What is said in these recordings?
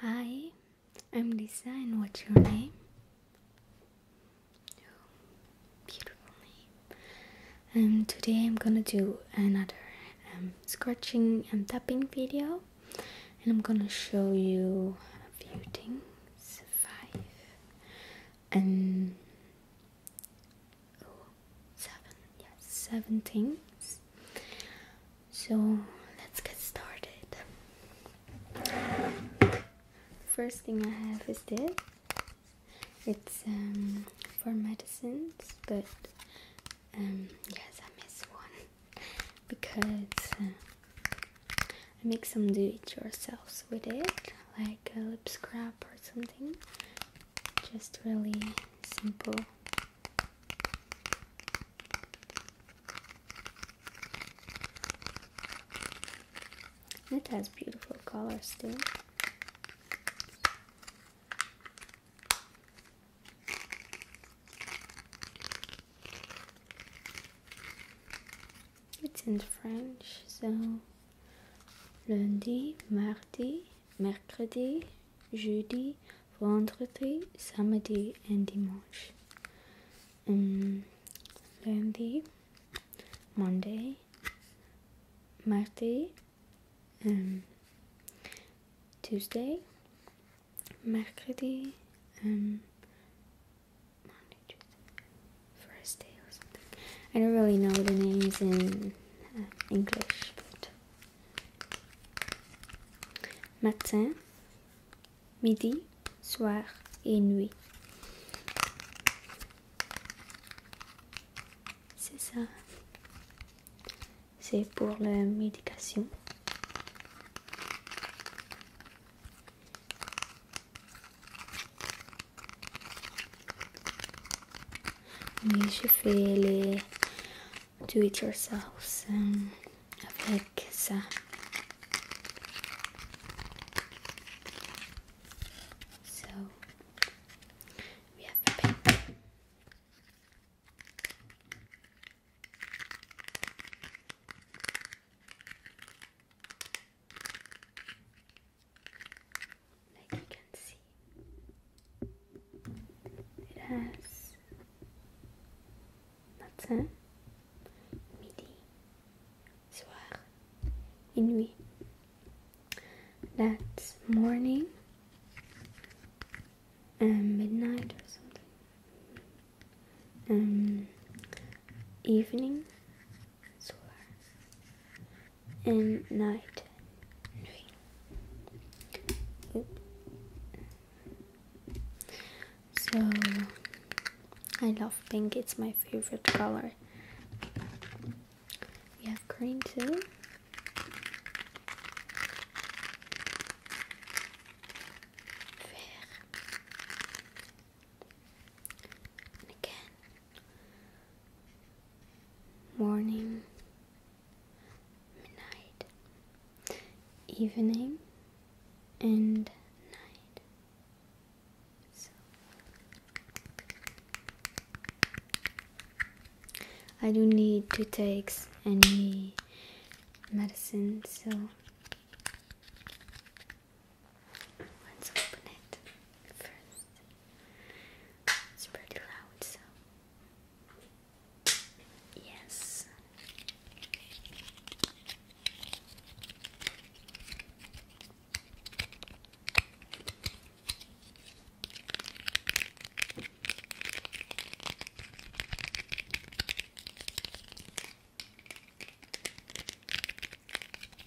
Hi, I'm Lisa, and what's your name? Oh, beautiful name. Um, today I'm gonna do another um, scratching and tapping video, and I'm gonna show you a few things, five, and oh, seven, yes, seven things. So let's get started. First thing I have is this. It's um, for medicines, but um, yes, I miss one because uh, I make some do-it-yourselves with it, like a lip scrub or something just really simple. It has beautiful colors too. It's in French, so lundi, mardi, mercredi, jeudi, vendredi, samedi et dimanche. Um, lundi, Monday, mardi, um, Tuesday, mercredi, um, Monday, Tuesday, Thursday or something. I don't really know the names in Euh, Matin, midi, soir et nuit. C'est ça. C'est pour la médication. Micifele do it yourselves um, So we have a paper like you can see it has matin, midi, soir, et nuit. That's morning and um, midnight or something. Um, evening solar and night. So I love pink, it's my favorite color. We have green too. again, morning, midnight, evening, and night. So I don't need to take any medicine, so let's open it first. It's pretty loud, so. Yes.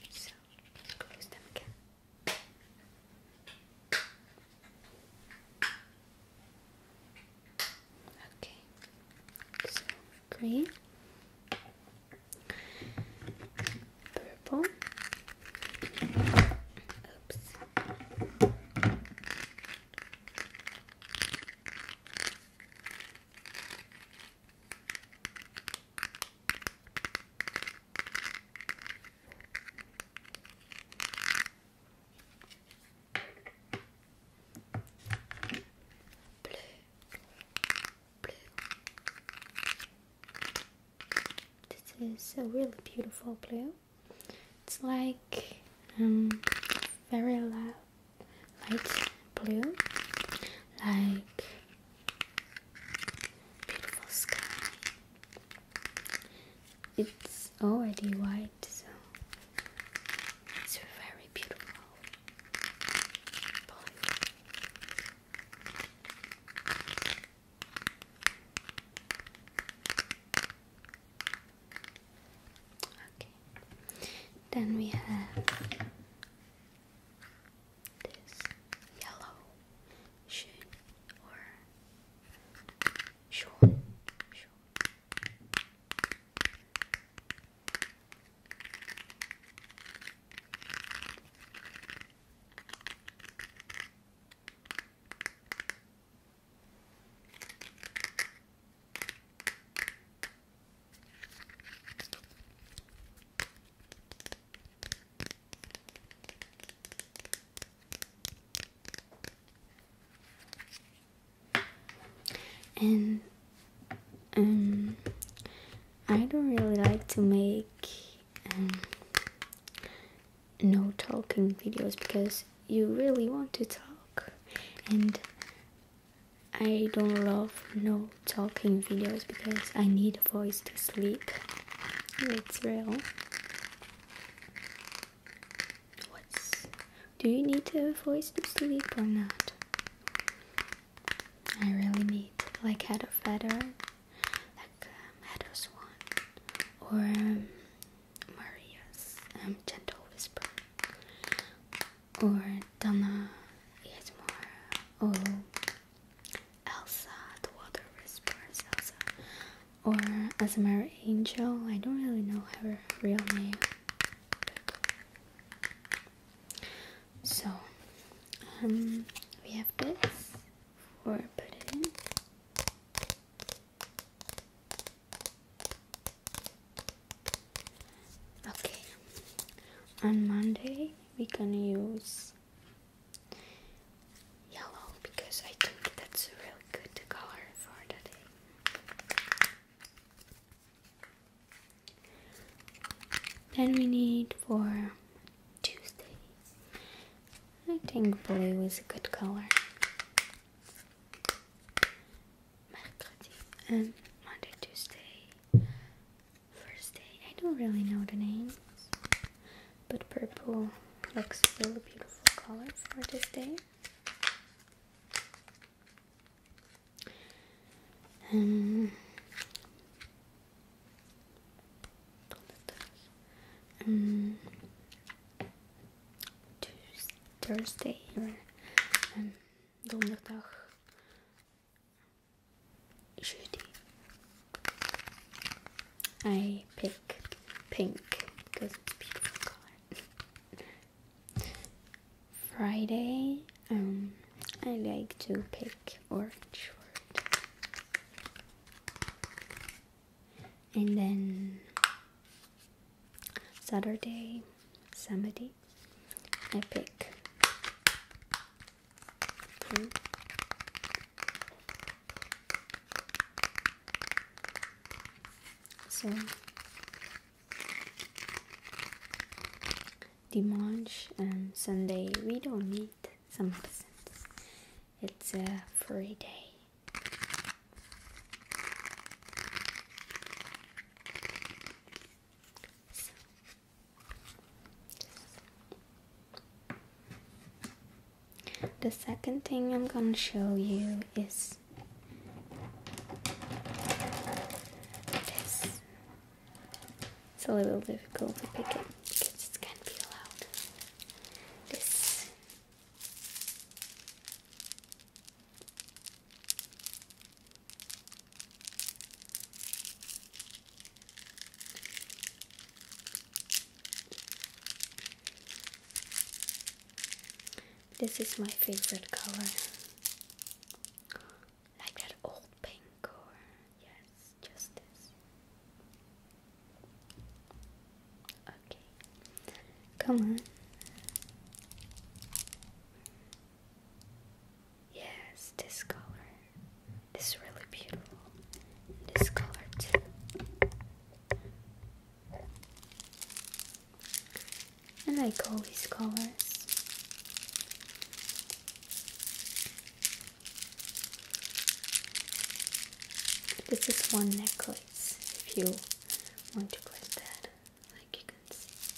So close them again. Okay, green, purple, oops, Bleu, blue. This is a really beautiful blue. It's like um, very loud light blue, like Beautiful sky. It's already white, so it's very beautiful. Blue. Okay. Then we have this yellow shoe short, short and um, I don't really like to make um, no talking videos because you really want to talk and I don't love no talking videos because I need a voice to sleep. It's real. What's do you need a voice to sleep or not? I really need like head of feather, like um, swan, or um, um, gentle whisper, or Donna it's more oh Elsa, the Water Whisperer's Elsa, or Asmara Angel. I don't really know her real name. So, um, we have this for put it in. Okay, on Monday we're gonna use yellow because I think that's a really good color for the day. Then we need for Tuesday. I think blue is a good color. Mercredi and um, Monday, Tuesday. First day, I don't really know the names, but purple looks really beautiful color for this day. Um, um, Thursday or um, donderdag Judy. I pick pink because it's a beautiful color. Friday, um, I like to pick orange And then Saturday, Saturday, I pick so Dimanche and Sunday we don't need some absence. It's a free day. The second thing I'm going to show you is this. It's a little difficult to pick it because it's kind of loud. This. This is my favorite color. Like that old pink or yes, just this. Okay. Come on. Yes, this color. This is really beautiful. this color too. I like all these colors. This is one necklace if you want to clip that, like you can see.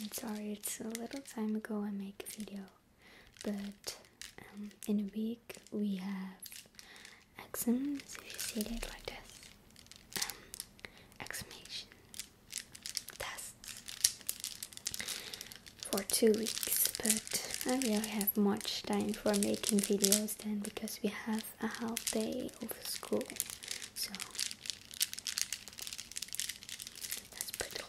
I'm sorry, it's a little time ago I make a video, but um, in a week we have exams, if you see it like this, um, exclamation, tests, for two weeks, but I really have much time for making videos then because we have a half day of school, so that's pretty long.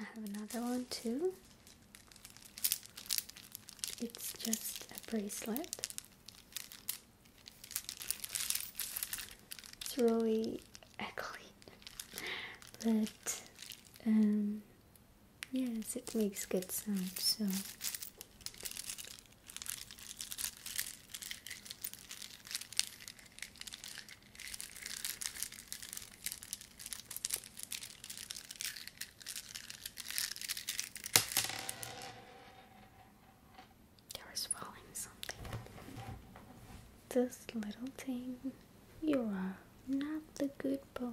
I have another one too. It's just a bracelet. It's really ugly, but um, yes, it makes good sound. So there was falling something. This little thing, you are not the good boy.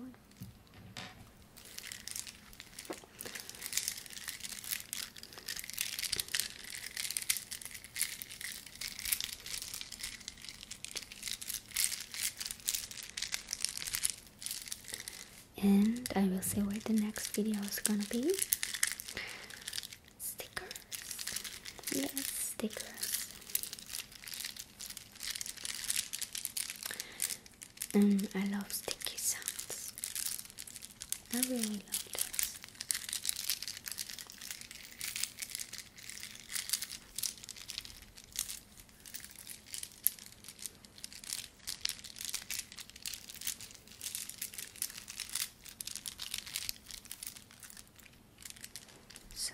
And I will say where the next video is gonna be. Stickers. Yes, stickers and I love sticky sounds. I really love those. So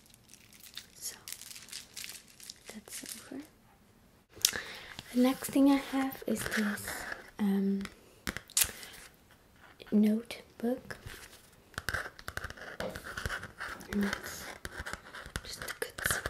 So that's over. The next thing I have is this um, notebook. just a good sound.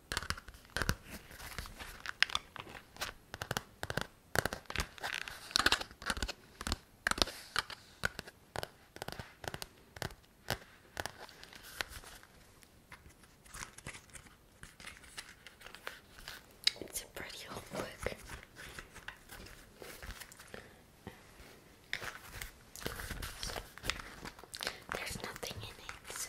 It's a pretty homework. There's nothing in it.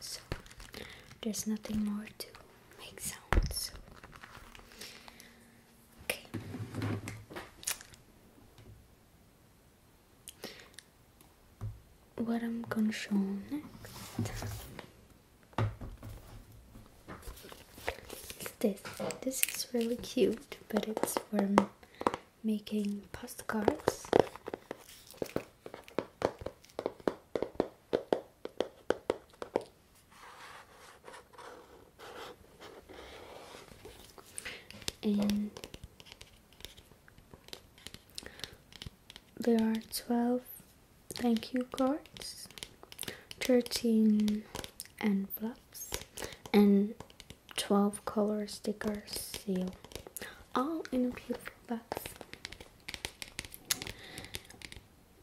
So there's nothing more to make sounds. Okay. What I'm gonna show next this. This is really cute, but it's for making postcards. And there are 12 thank you cards, 13 envelopes and 12 color stickers, seal all in a beautiful box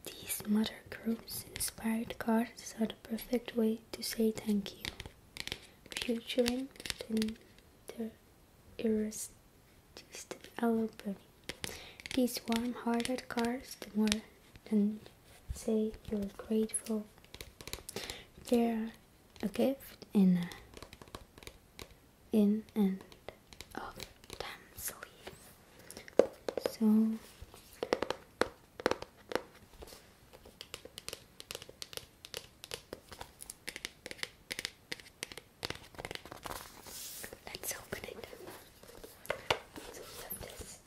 these mother groups inspired cards are the perfect way to say thank you featuring the irresistible album these warm-hearted cards the more than say you're grateful. There, are a gift in a, in and of them So let's open it. So we have this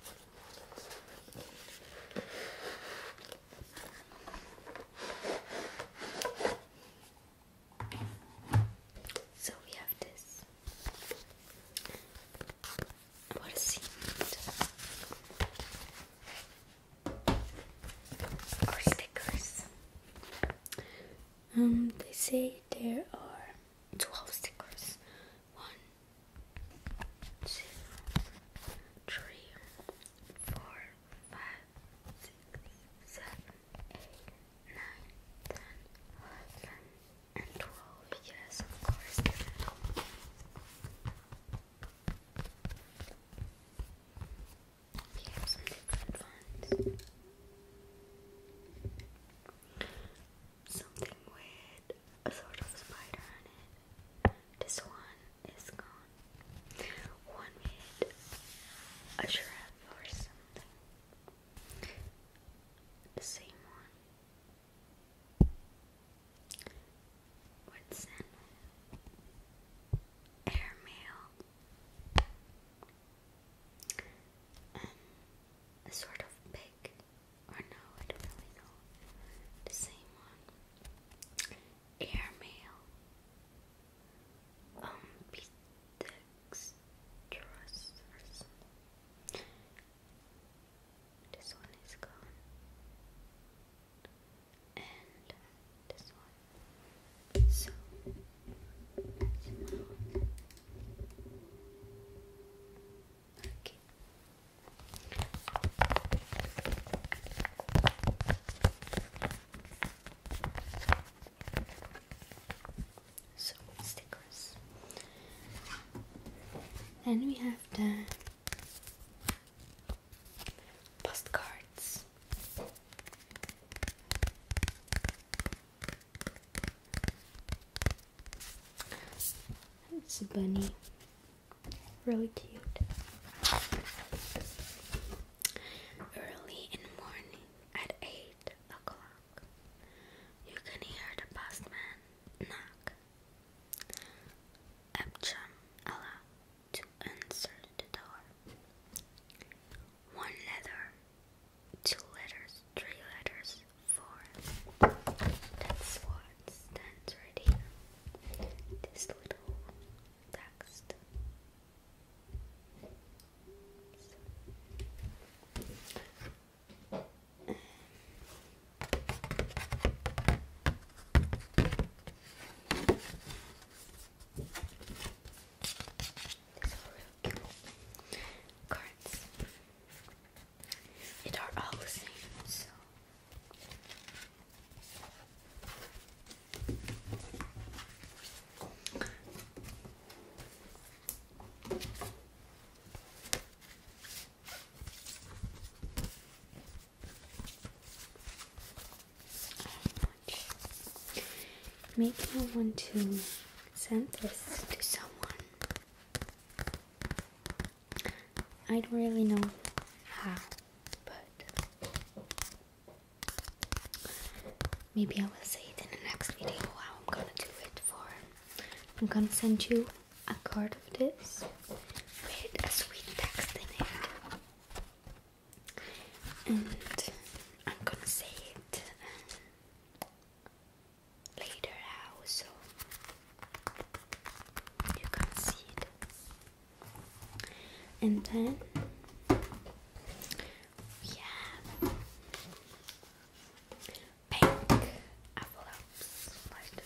so we have this what is or stickers. Um, they say there are twelve stickers. One, two, three, four, five, six, seven, eight, nine, ten, eleven, and twelve. Yes, of course. We have some different ones something with a sort of spider on it. This one is gone. One with a giraffe or something. The same one. What's in airmail? a sort of pig or no, I don't really know. The same one. Airmail. Um, Petextrus or This one is gone. And this one. So, Okay. So stickers. Then we have the postcards. It's a bunny. Really cute. Early in the morning at 8 o'clock, you can hear the postman knock. Epcham allowed to answer the door. One letter two letters, three letters, four. That's what stands right here. This little text. So. Um. These are really cards. It are all the same, so make I want to send this to someone. I don't really know how, but maybe I will say it in the next video how I'm gonna do it for. I'm gonna send you a card of this with a sweet text in it, and I'm gonna say it. Um, later house so you can see it and then we pink envelopes like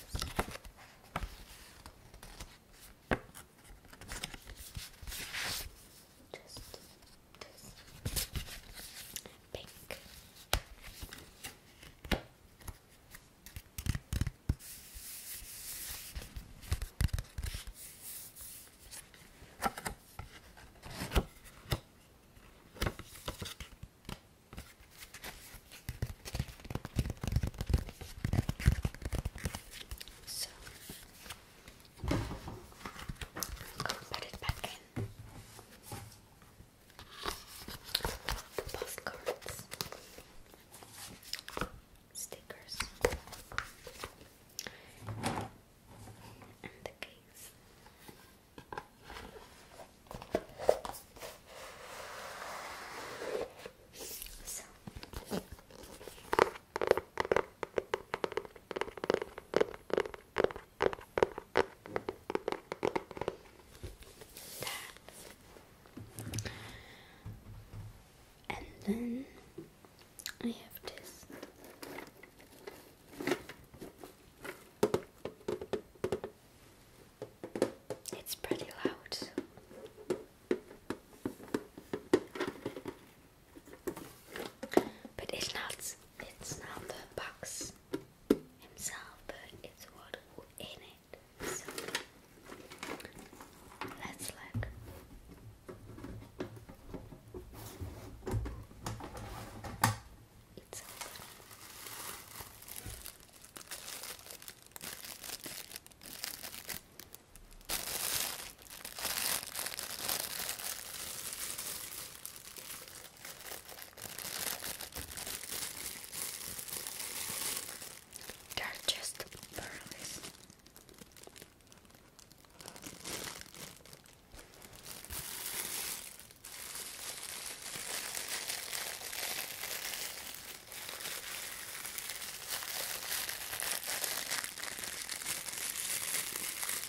pink. So put it back in postcards, stickers, and the case. So. And then I have this. It's pretty loud. But it's not it's not the box himself put its water in it. So let's look. It's they're just pearls.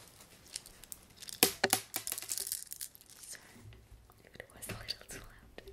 Sorry if it was a little too loud. Okay.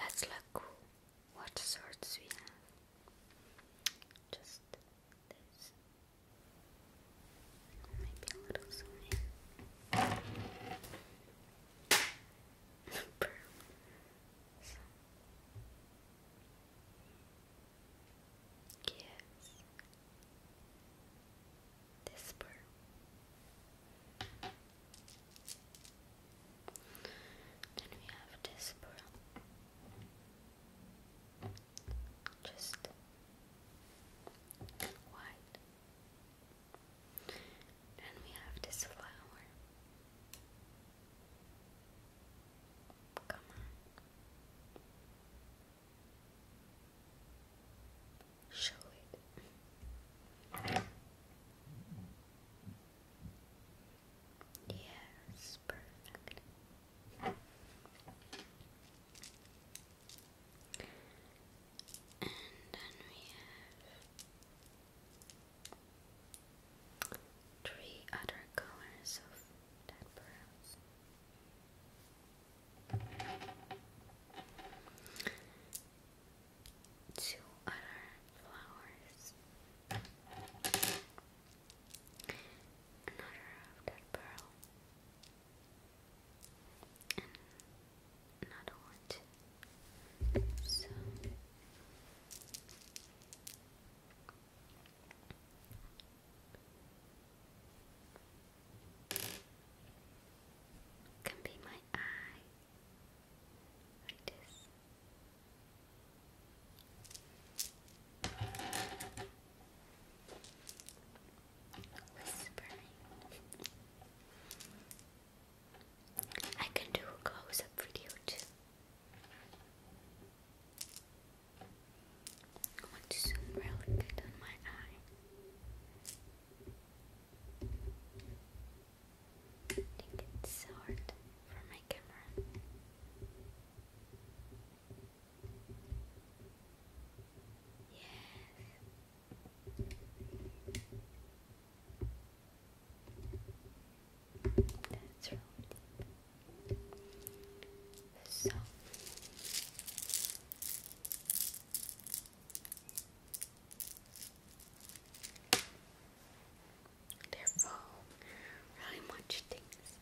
Let's look what sorts we have. Just this. Maybe a This pearl. Then we have this pearl just white. And we have this flower. Come on. Show it. Yes, perfect. And then we have three other colors of that pearls. Two other flowers. Another of that pearl and another one So can be my eye like this. Whispering. I can do a close up video too. I want to zoom really good on my eye. I think hard for my camera. Yes. That's right. So they're all really much things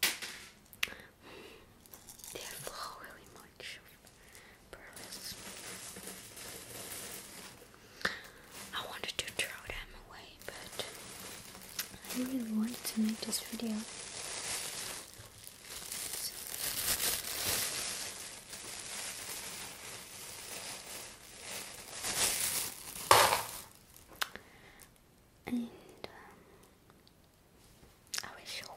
They flow really much pearls. I wanted to throw them away, but I really wanted to make this video and um, I will show one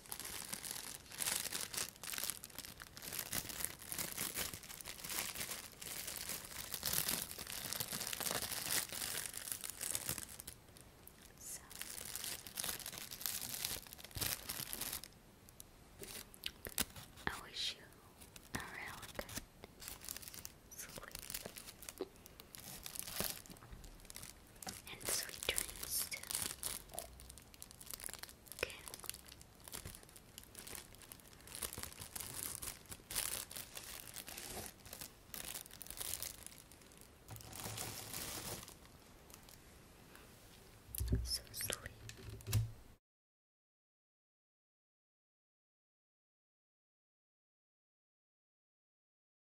So I wish you a really good sleep and sweet dreams Okay. So sleep.